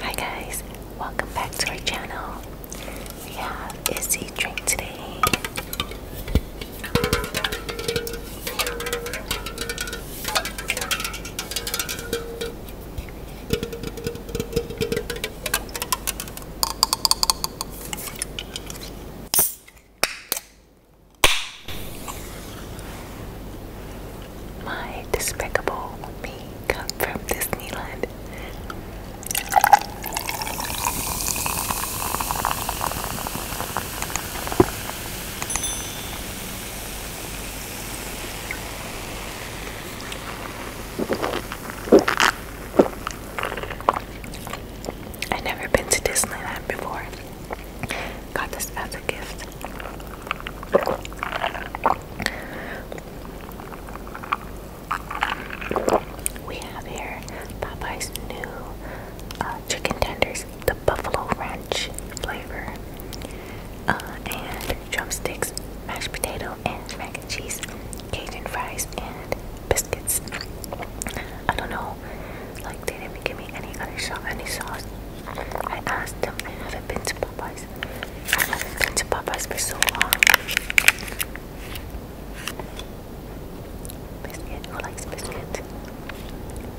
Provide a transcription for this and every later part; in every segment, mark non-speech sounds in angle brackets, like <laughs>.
Hi guys, welcome back to our channel. We have Izzy drink today. My despicable me come from Disneyland. I've never been to Disneyland before. Got this as a gift. We have here Popeye's new uh, chicken tenders the buffalo ranch flavor, uh, and drumsticks, mashed potato, and mac and cheese, Cajun fries, and biscuits. I don't know, like they didn't give me any other sauce. Any sauce. I asked them. I haven't been to Popeyes. I haven't been to Popeyes for so long. Biscuit. Who likes biscuit?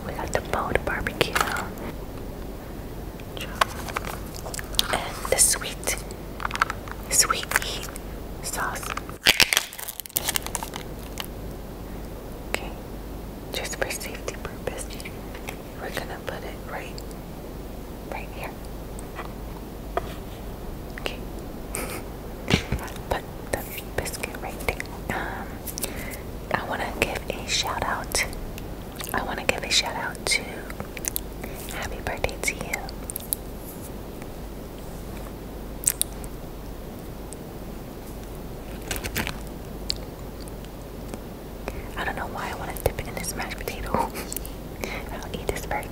We got the boat barbecue. And the sweet, sweet meat sauce. Okay, just for safety purpose, we're gonna put it right, right here. Okay, but <laughs> biscuit right Um, I want to give a shout out. I want to give a shout out to Happy Birthday to you. I don't know why I want to dip it in this mashed potato. <laughs> I'll eat this first.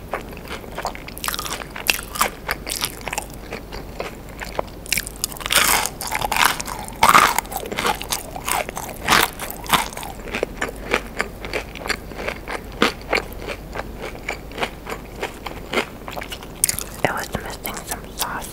It was missing some sauce.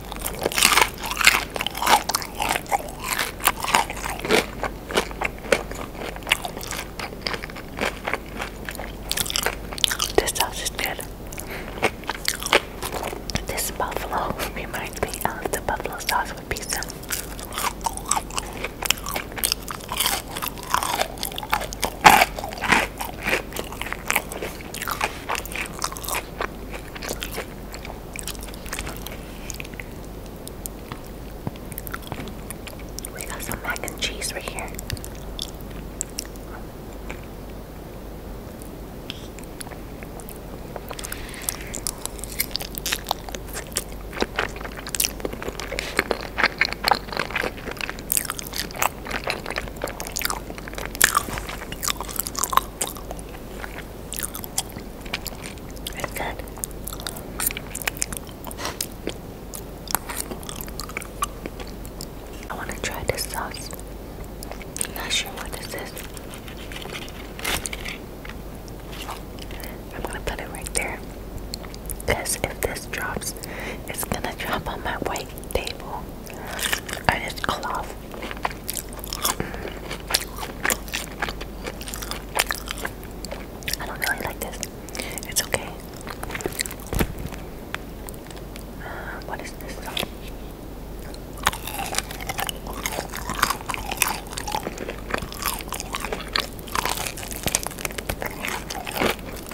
This sauce is good. This buffalo reminds me of the buffalo sauce with pizza. We got some mac and cheese right here. It's good. I want to try this sauce. I'm not sure what this is. I'm gonna put it right there. Because if this drops, it's gonna drop on my white table and it's cloth. I don't really like this. It's okay. Uh, what is this? I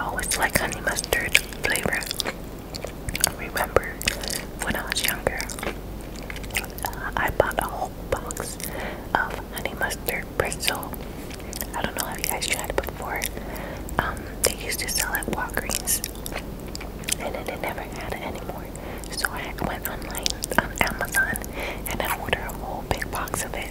always like honey mustard flavor. I remember when I was younger, I bought a whole box of honey mustard pretzel. I don't know Have you guys tried it before. Um, they used to sell it at Walgreens, and then they never had it anymore. So I went online on Amazon and I ordered a whole big box of it.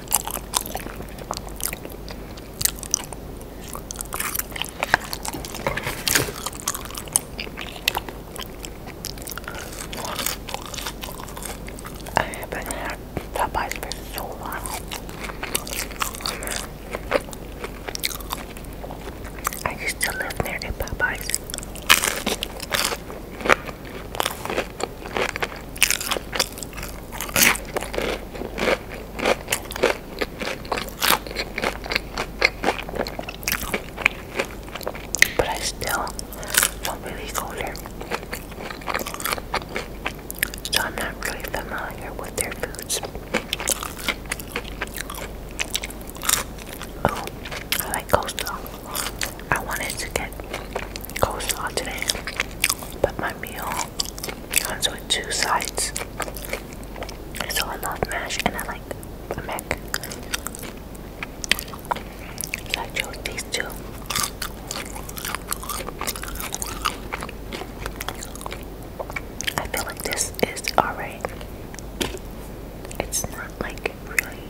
I haven't had Popeyes for so long. I used to live near a Popeyes. But I still don't really go there. So I'm not really familiar with their foods. Oh, I like coleslaw. I wanted to get coleslaw today, but my meal comes with two sides. So I love mash and I like mac. So I chose these two. I feel like this is alright. It's not like really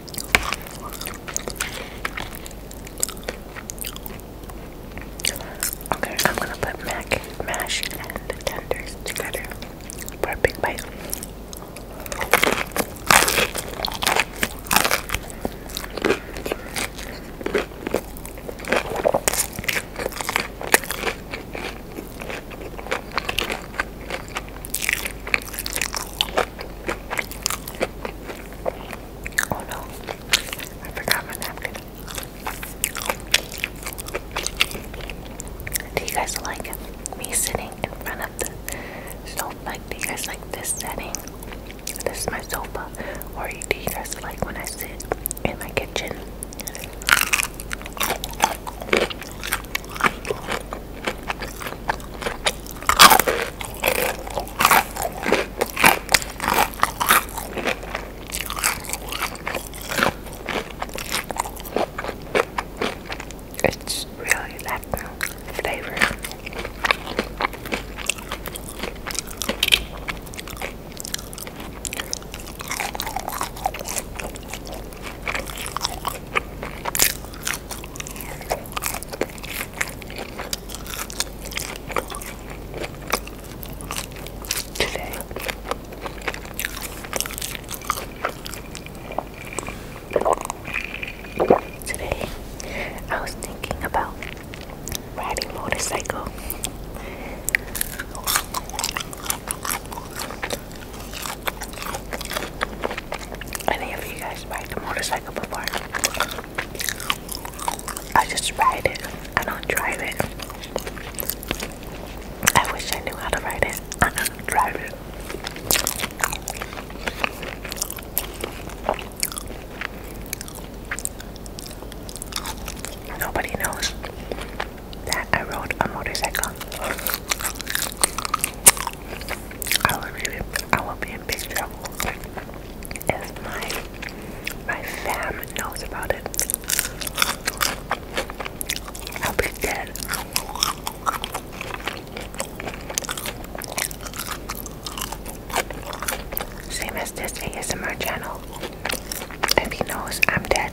Okay, I'm gonna put mac, mash, and tenders together big bite. Oh no, I forgot my napkin. Do you guys like me sitting in front of the sofa? Do you guys like this setting? This is my sofa. Or do you guys like when I sit in my kitchen? It's really that flavor today. Today, I was thinking about riding motorcycle. Any of you guys ride the motorcycle before? I just ride it. I don't drive it. I wish I knew how to ride it. <laughs> I don't drive it. Nobody knows that I rode a motorcycle. I will be, I will be can't picture my my fam knows about it. I'll be dead. Same as this ASMR channel. If he knows I'm dead.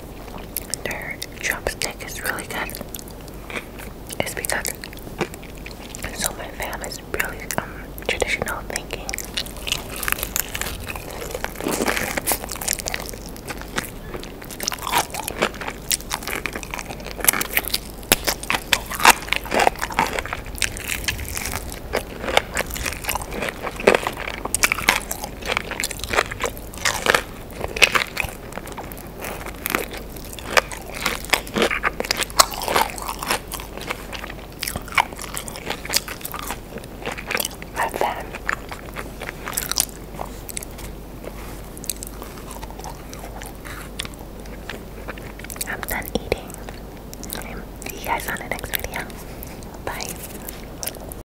their chopstick is really good is because so my fam is really um traditional thinking. Love them. I'm done eating. See you guys on the next video. Bye.